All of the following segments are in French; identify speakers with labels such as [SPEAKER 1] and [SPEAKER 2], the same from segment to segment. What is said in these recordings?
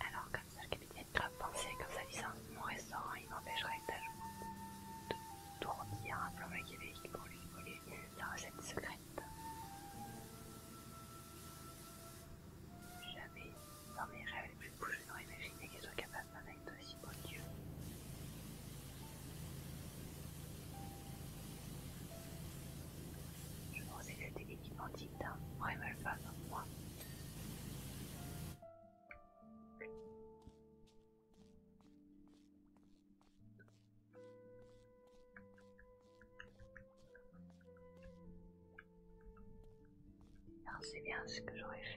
[SPEAKER 1] Alors comme ça le capitaine de pensait pensée comme ça, disant mon restaurant il m'empêcherait de tourdir un plan machiavélique pour lui voler la recette secrète. Jamais. Dans mes rêves les plus je n'aurais imaginé qu'ils soient capables d'en être aussi Dieu. Je pense que c'était l'équipement digne d'un vrai malfat comme moi c'est bien ce que j'aurais fait.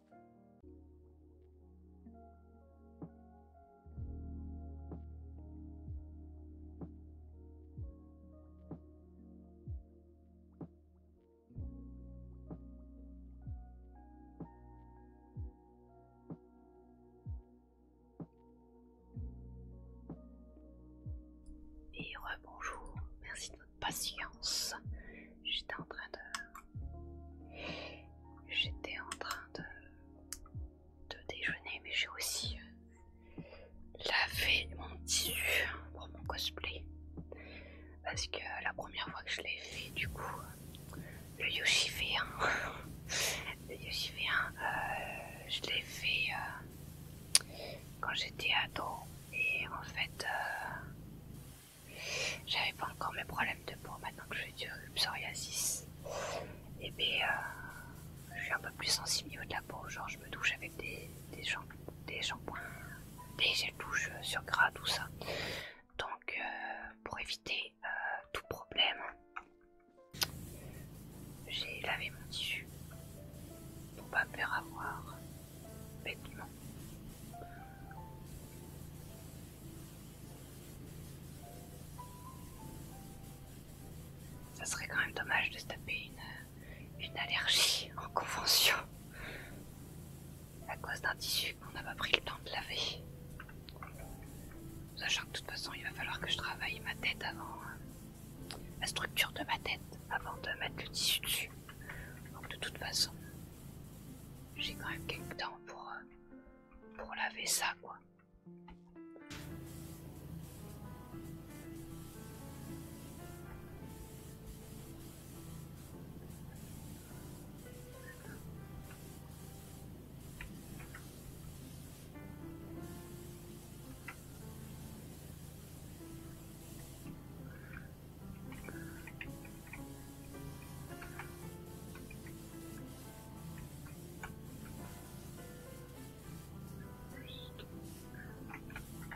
[SPEAKER 1] Et rebonjour, merci de votre patience. J'étais en train de J'étais en train de, déjeuner, mais j'ai aussi euh, lavé mon tissu pour mon cosplay. Parce que la première fois que je l'ai fait, du coup, le Yoshi v le Yoshi euh, je l'ai fait euh, quand j'étais ado. Et en fait, j'avais pas encore mes problèmes de peau maintenant que je suis du psoriasis. Et bien, euh, je suis un peu plus sensible au niveau de la peau. Genre, je me douche avec des, des, shampoings, des shampoings, des douche euh, sur gras, tout ça. Donc, euh, pour éviter tout problème, j'ai lavé mon tissu pour pas me faire avoir bêtement. Ça serait quand même dommage de se taper une, allergie en convention à cause d'un tissu qu'on n'a pas pris le temps de laver. Sachant que de toute façon il va falloir que je travaille ma tête avant, euh, la structure de ma tête avant de mettre le tissu dessus. Donc de toute façon, j'ai quand même quelques temps pour, euh, pour laver ça, quoi.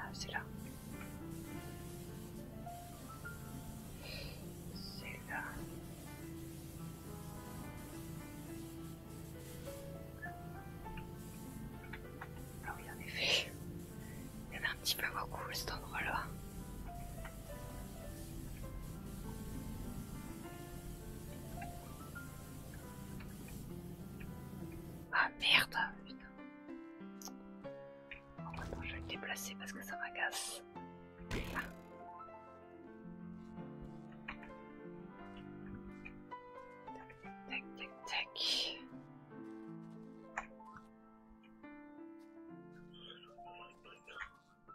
[SPEAKER 1] Ah, c'est là. C'est là. Ah oui, en effet. Il y en a un petit peu beaucoup cet endroit-là. Ah merde, putain. Oh, attends, je vais le déplacer parce que ça m'agace. tac, Tac, tac, tac.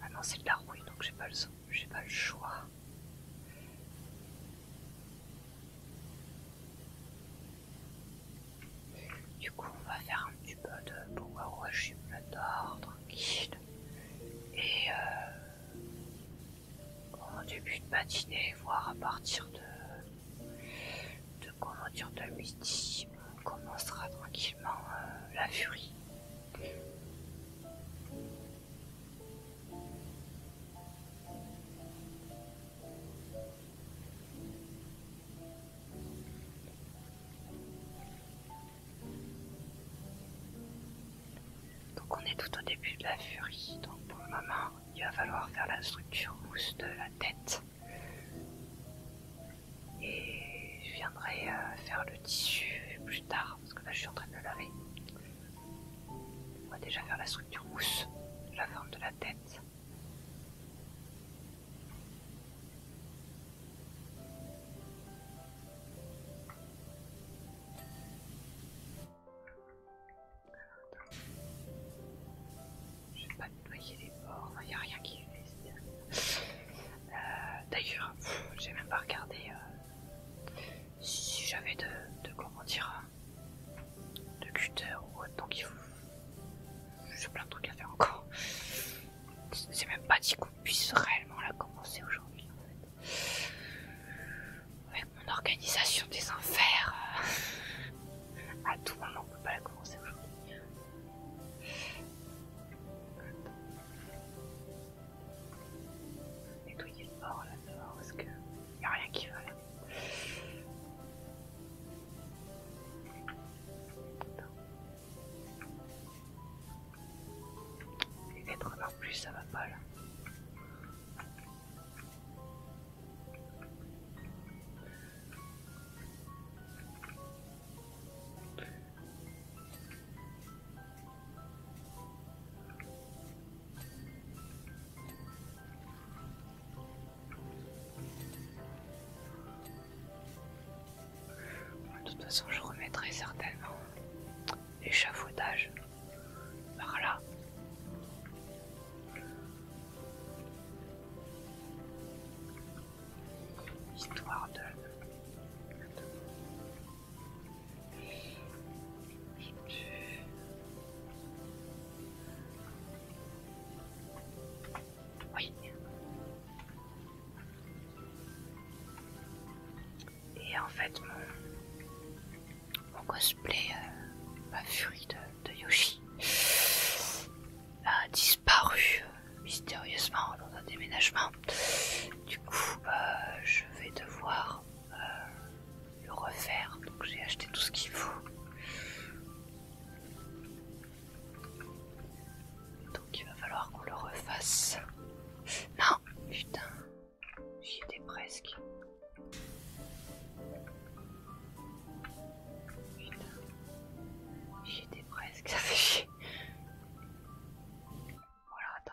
[SPEAKER 1] Ah non, c'est de la rouille, donc j'ai pas le j'ai pas le choix. Du coup, on va faire un petit peu de power suis là d'or, tranquille. Et au euh, début de matinée, voire à partir de, de comment dire, de midi, on commencera tranquillement euh, la furie. Donc on est tout au début de la furie, donc pour le moment il va falloir faire la structure mousse de la tête. Et je viendrai euh, faire le tissu plus tard, parce que là je suis en train de le laver. On va déjà faire la structure mousse, la forme de la tête. Je pas nettoyer les bords, il n'y a rien qui est fait. Euh, d'ailleurs, j'ai même pas regardé euh, si j'avais de, euh, de cutter ou autre, donc J'ai plein de trucs à faire encore. C'est même pas dit qu'on puisse réellement la commencer aujourd'hui avec mon organisation des enfers, euh, à tout moment, on peut pas la commencer aujourd'hui. Nettoyer le bord là dedans parce qu'il n'y a rien qui va là. Les êtres non plus, ça va pas là. De toute façon, je remettrai certainement l'échafaudage par là. Histoire de... Oui. Et en fait, mon, cosplay, euh, ma furie de, Yoshi, a disparu euh, mystérieusement dans un déménagement. Du coup, euh, je vais devoir le refaire. Donc, j'ai acheté tout ce qu'il faut. Donc, il va falloir qu'on le refasse. Non, putain, j'y presque. Putain, j'y presque, ça fait chier. Voilà, attends.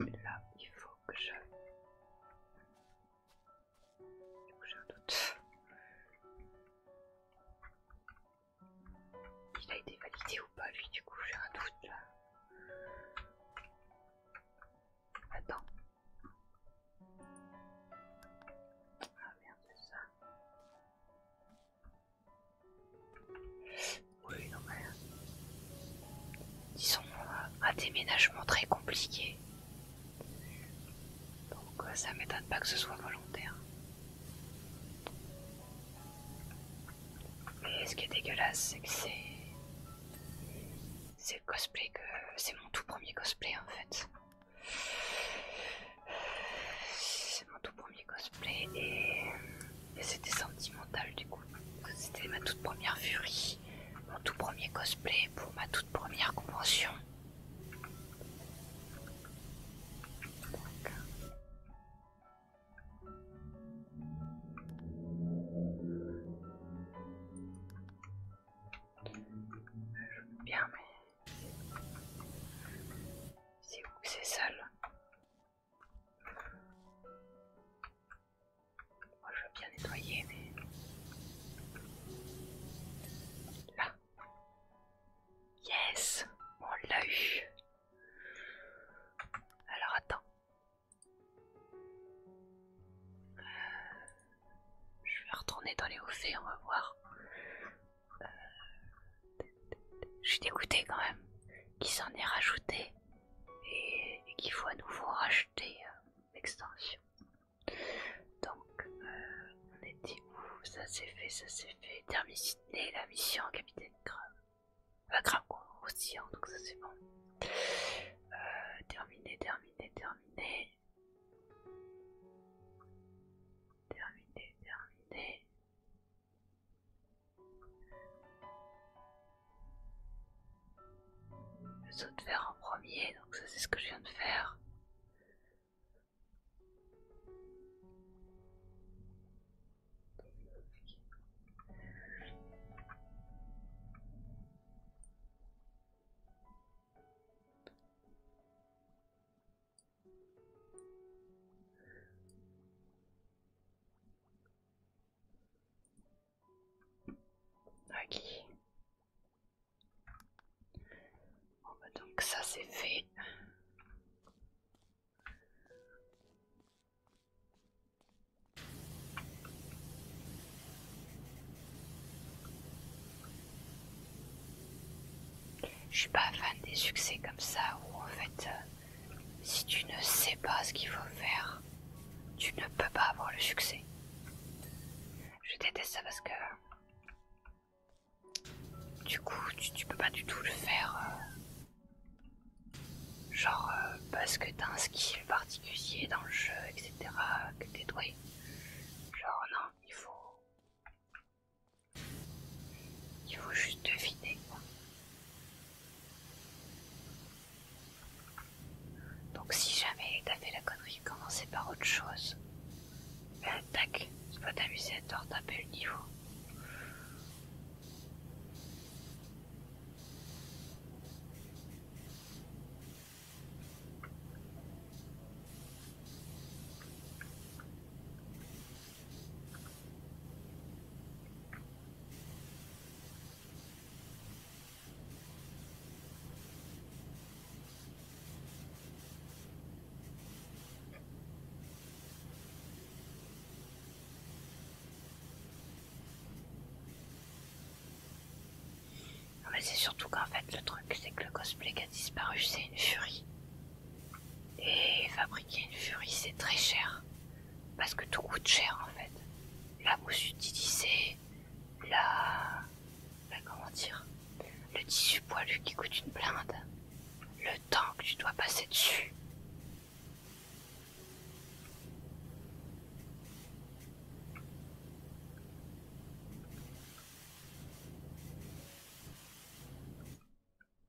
[SPEAKER 1] Là, il faut que je... Du coup, j'ai un doute. Il a été validé ou pas lui du coup j'ai un doute Attends. Ah merde c'est ça. Oui, non mais... Disons euh, euh, un déménagement très compliqué. Donc euh, ça m'étonne pas que ce soit volontaire. Mais ce qui est dégueulasse, c'est que c'est... C'est cosplay que... C'est mon tout premier cosplay en fait. C'est premier cosplay et, c'était sentimental du coup. C'était ma toute première furie, mon tout premier cosplay pour ma toute première convention. Je bien mais c'est où c'est sale moi je veux bien nettoyer, mais... Là. Yes On l'a eu Alors attends. Euh, je vais retourner dans les hauts faits, on va voir. Euh, je suis dégoûtée quand même. Qui s'en est rajouté et, qu'il faut à nouveau racheter euh, l'extension. Donc, euh, on était où Ça c'est fait, ça c'est fait. Terminer la mission, capitaine crabe la crabe aussi, donc ça c'est bon. Euh, terminé, terminé, terminé. Terminé, terminé. Le saut de fer en premier, donc ça c'est ce que je viens de faire. Ok. Bah, donc ça c'est fait. Je suis pas fan des succès comme ça où en fait... Euh, si tu ne sais pas ce qu'il faut faire, tu ne peux pas avoir le succès. Je déteste ça parce que du coup, tu, peux pas du tout le faire. Euh, genre, euh, parce que t'as un skill particulier dans le jeu, etc., que t'es doué. Genre, non, il faut. Il faut juste deviner, quoi. Donc si jamais t'as fait la connerie, commencez par autre chose. tac, c'est pas t'amuser à te retaper le niveau mais ah bah, c'est surtout qu'en fait le truc c'est que le cosplay qui a disparu c'est une furie. Et fabriquer une furie c'est très cher parce que tout coûte cher en fait. La mousse utilisée, la, la comment dire, le tissu poilu qui coûte une blinde, le temps que tu dois passer dessus.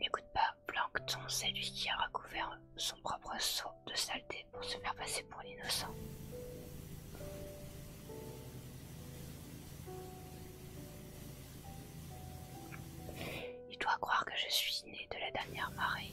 [SPEAKER 1] N'écoute pas, Plancton, c'est lui qui a recouvert son propre saut de saleté pour se faire passer pour l'innocent. Il doit croire que je suis née de la dernière marée.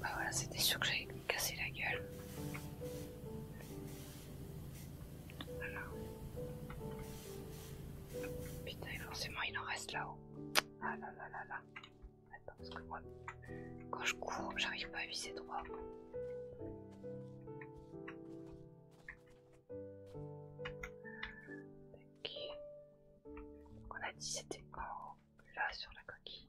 [SPEAKER 1] bah voilà, c'était sûr que j'allais me casser la gueule. Putain, forcément, il en reste là-haut. Ah là là là là. Attends, parce que moi, quand je cours, j'arrive pas à viser droit. On a dit c'était en là sur la coquille.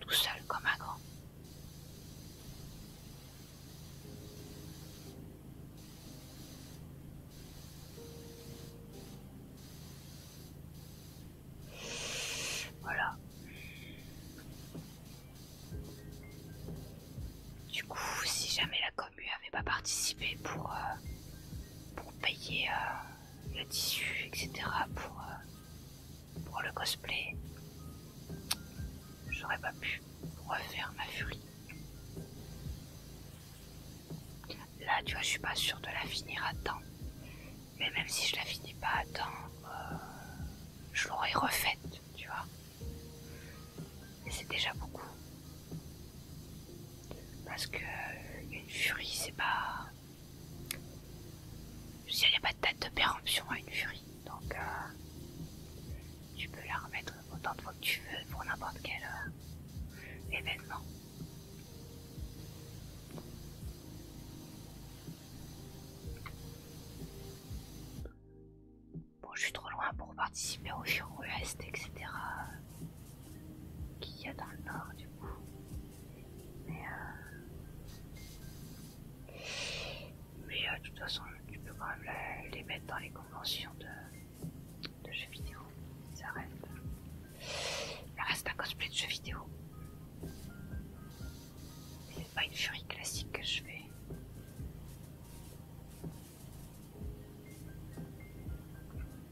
[SPEAKER 1] Tout seul comme un grand. Voilà. Du coup, si jamais la commu avait pas participé pour, euh, pour payer... Euh, le tissu, etc. Euh, pour, le cosplay, j'aurais pas pu refaire ma furie. Là, tu vois, je suis pas sûre de la finir à temps. Mais même si je la finis pas à temps, euh, je l'aurais refaite, tu vois. mais c'est déjà beaucoup. Parce que euh, une furie, c'est pas. il n'y a pas de date de péremption à une furie, donc euh, tu peux la remettre autant de fois que tu veux pour n'importe quel euh, événement. Bon, je suis trop loin pour participer au Furo etc qu'il y a dans le nord du coup. Mais, euh, Mais euh, de toute façon, tu peux quand même les mettre dans les conventions de, jeux vidéo. Ça reste. Euh, ça reste un cosplay de jeux vidéo. C'est pas une furie classique que je fais.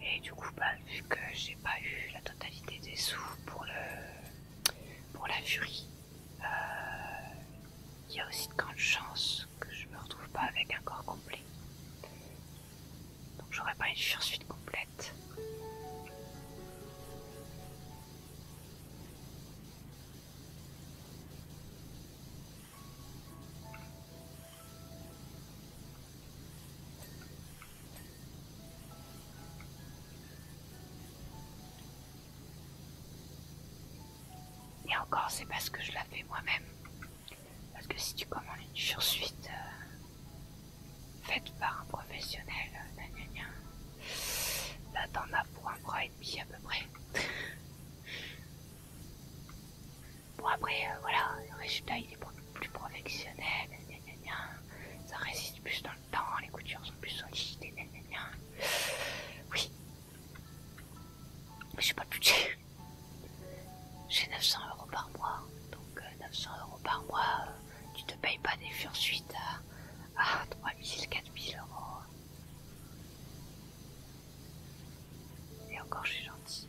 [SPEAKER 1] Et du coup, bah, vu que j'ai pas eu la totalité des sous pour le pour la furie, euh, il y a aussi de grandes chances que je me retrouve pas avec un corps complet. Donc j'aurai pas une fursuite complète. Et encore, c'est parce que je la fais moi-même. Parce que si tu commandes une sursuite euh, faite par un professionnel, là euh, bah, t'en as pour un bras et demi à peu près. Bon après euh, voilà, le résultat il est beaucoup plus professionnel, ça résiste plus dans le temps, les coutures sont plus solides, Oui. Mais je suis pas de budget. J'ai 900 euros par mois, donc 900 euh, euros par mois, euh, tu te payes pas des furs suite à, 3000, 4000 euros. Et encore je suis gentille.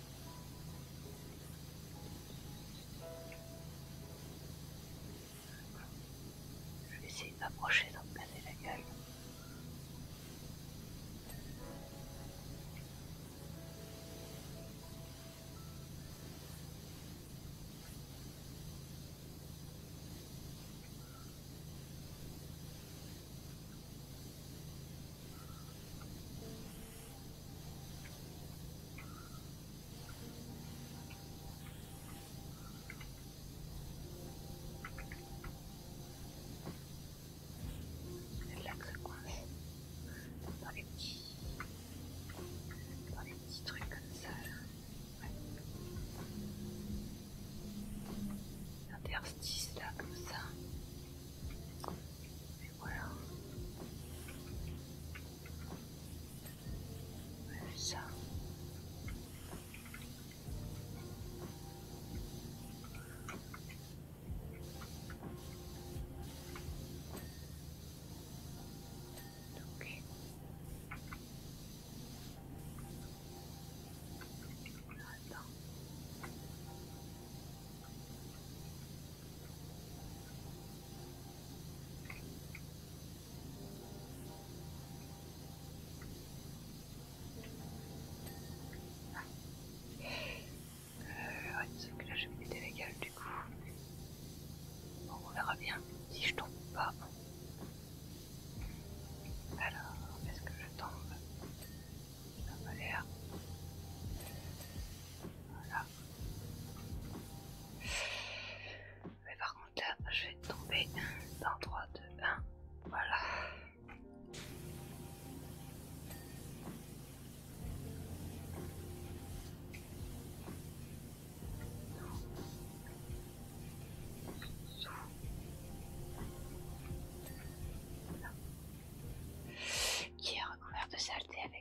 [SPEAKER 1] Je vais essayer d'approcher, m'approcher, d'en regarder la gueule. C'est là que ça coince. Dans les petits, dans les petits trucs comme ça. Ouais. L'interstice là comme ça. we will move some Okay. Attends. Euh, ouais, que là je vais péter légal du coup. on verra bien si je tombe pas. Alors, est-ce que je tombe Ça m'a l'air. Voilà. Mais par contre là, je vais tomber dans 3, 2, 1. Voilà. Qui est recouvert de saleté avec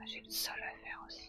[SPEAKER 1] Ah, j'ai une seule à faire aussi.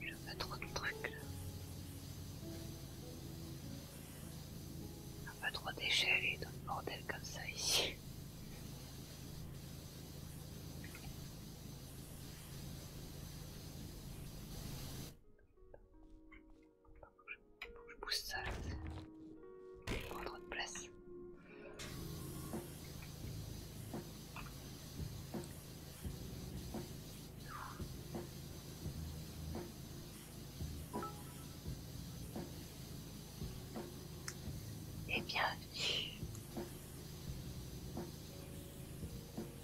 [SPEAKER 1] Je veux trop de trucs. Un peu trop d'échelles et d'un bordel comme ça ici. je pousse ça, Je prends trop de place. Et bienvenue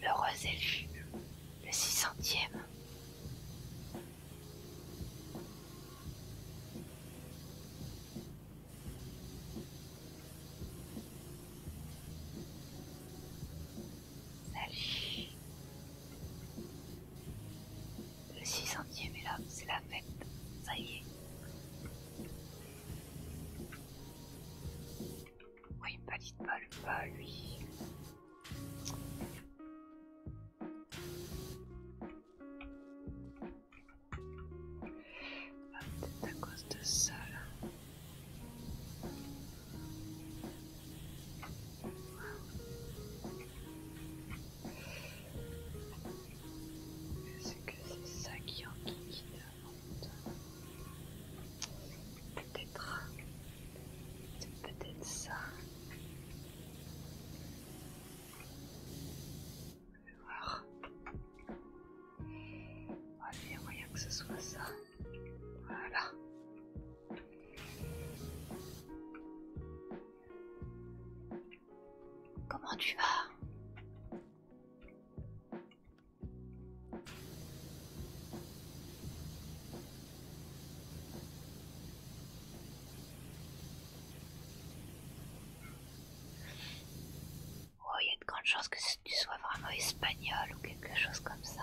[SPEAKER 1] le rose est le 600e. Salut. Le 600ème est là, c'est la fête. Ça y est. Oui, il me valide pas pas, lui. Ah, peut-être à cause de ça là. Est-ce que c'est ça qui enquiquine la Peut-être. C'est peut-être ça. Je vais voir. On il y a moyen que ce soit ça. Voilà. Comment tu vas Oh, il y a de grandes chances que tu sois vraiment espagnol ou quelque chose comme ça.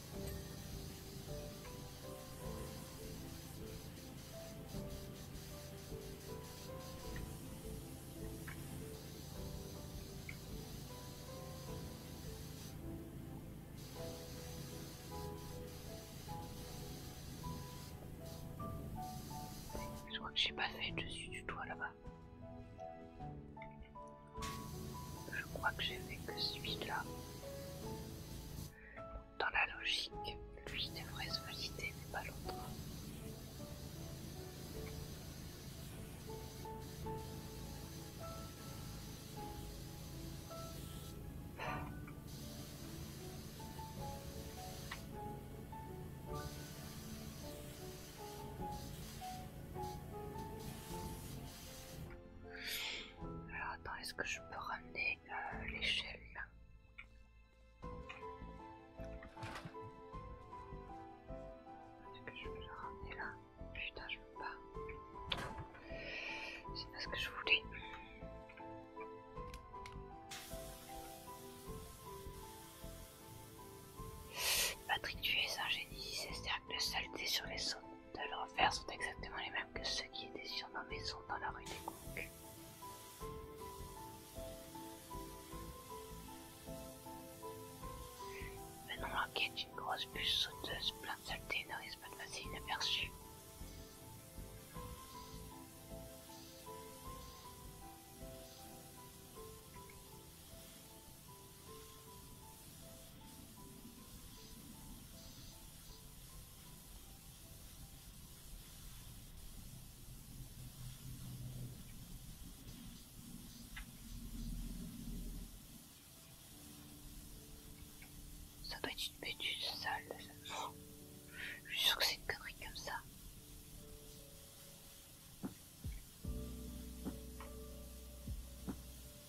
[SPEAKER 1] Je crois que j'ai pas fait dessus du toit là-bas. Je crois que j'ai fait que celui-là. Dans la logique, lui devrait se valider, mais pas l'autre. Alors attends, est-ce que je peux ramener euh, l'échelle. Est-ce que je veux la ramener là Putain, je veux pas. C'est pas ce que je voulais. Patrick, tu es un génie. C'est que de saleté sur les sauts de l'enfer sont exactement les mêmes que ceux qui étaient nos maisons, dans la rue des Conques. Maintenant, la quête une grosse bûche sauteuse pleine de saleté ne risque pas de passer inaperçue. Ça doit être une bêtise sale. Je suis sûr que c'est une connerie comme ça.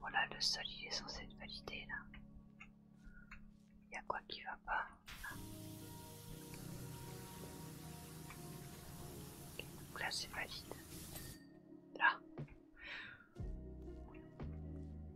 [SPEAKER 1] Voilà, le sol il est censé être validé là. Il y a quoi qui va pas là c'est valide. Là.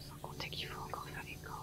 [SPEAKER 1] Sans compter qu'il faut encore faire les cordes.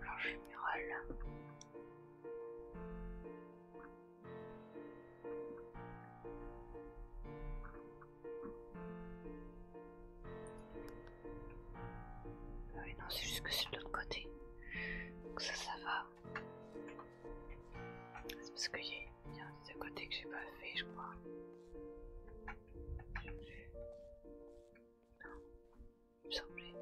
[SPEAKER 1] Alors, je général. Ah oui, non, c'est juste que c'est de l'autre côté. Donc ça, ça va. C'est parce qu'il y, a un côté que j'ai pas fait, je crois. Je plus. Non, il semblait.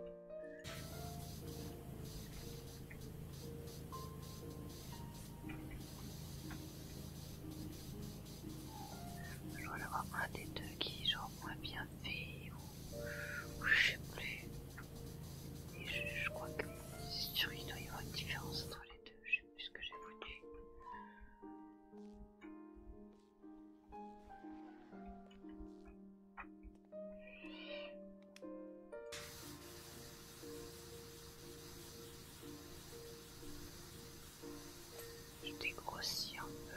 [SPEAKER 1] Je vais en avoir un des deux qui est genre moins bien fait ou, ou je sais plus je, crois que qu'il doit y avoir une différence entre les deux, je sais plus ce que j'ai voulu Je dégrossis un peu.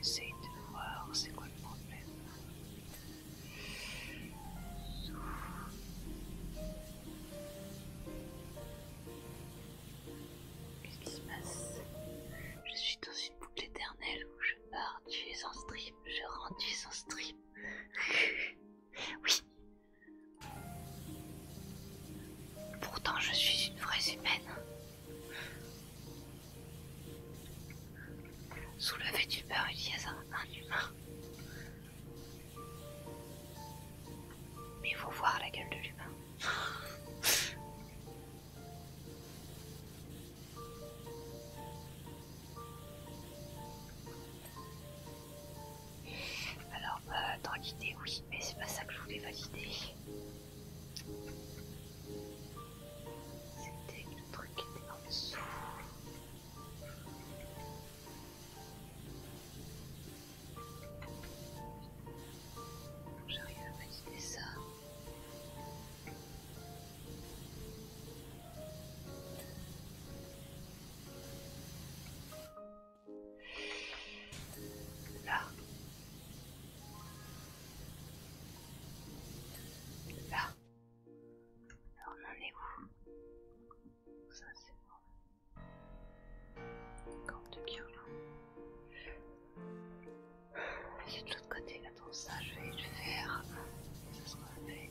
[SPEAKER 1] Essaye de voir c'est quoi le problème. Qu'est-ce qui se passe Je suis dans une boucle éternelle où je pars, tu es en strip, je rentre, tu en strip. oui. Pourtant je suis une vraie humaine. Soulever du beurre, il y a un, humain. Mais il faut voir la gueule de l'humain. Alors, tranquillité, euh, oui, mais c'est pas ça que je voulais valider. C'était le truc qui était en dessous. J'arrive à valider ça. Là. Là. Alors on en est où Ça c'est bon. Camp de Kyolo. C'est de l'autre côté, attends ça, je vais le faire. Ça sera fait.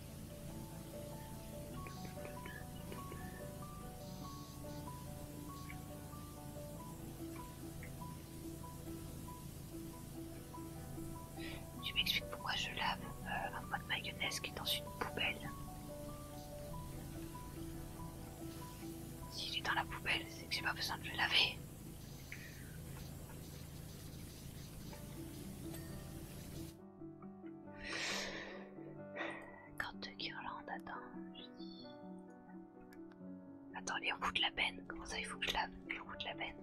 [SPEAKER 1] Tu m'expliques pourquoi je lave euh, un pot de mayonnaise qui est dans une poubelle. S'il est dans la poubelle, c'est que j'ai pas besoin de le laver. Quand guirlande, attends, je dis... Attends, les roues de la peine Comment ça, il faut que je lave les roues de la peine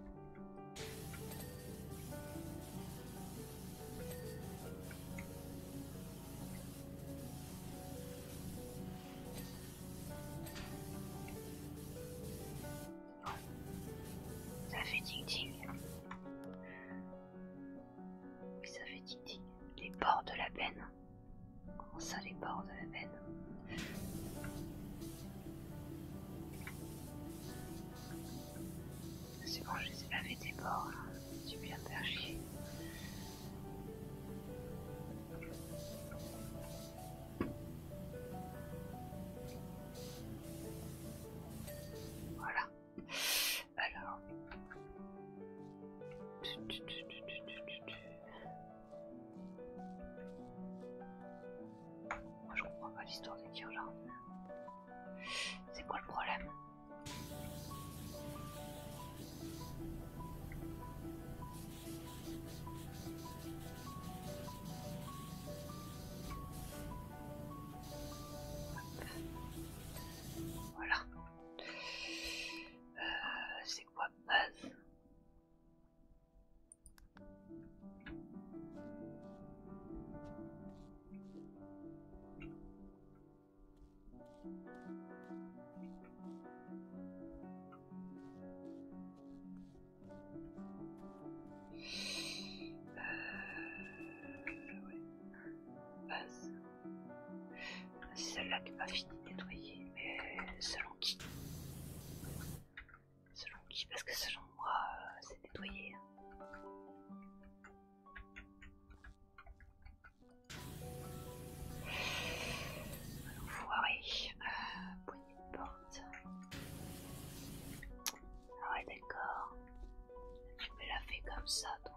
[SPEAKER 1] ça fait tic tic, Oui, ça fait tic tic, Les bords de la peine. Comment ça, les bords de la peine C'est bon, je les ai lavé tes bords. Tu viens de faire voilà. Alors. Moi je comprends pas l'histoire des tirs C'est quoi le problème voilà. Euh, c'est quoi base c'est euh, Celle-là n'a pas fini de nettoyer, mais selon qui Selon qui Parce que selon moi, euh, c'est nettoyé. Enfoiré. Hein. Euh, poignée de porte. Ah ouais d'accord. Tu me la fait comme ça toi.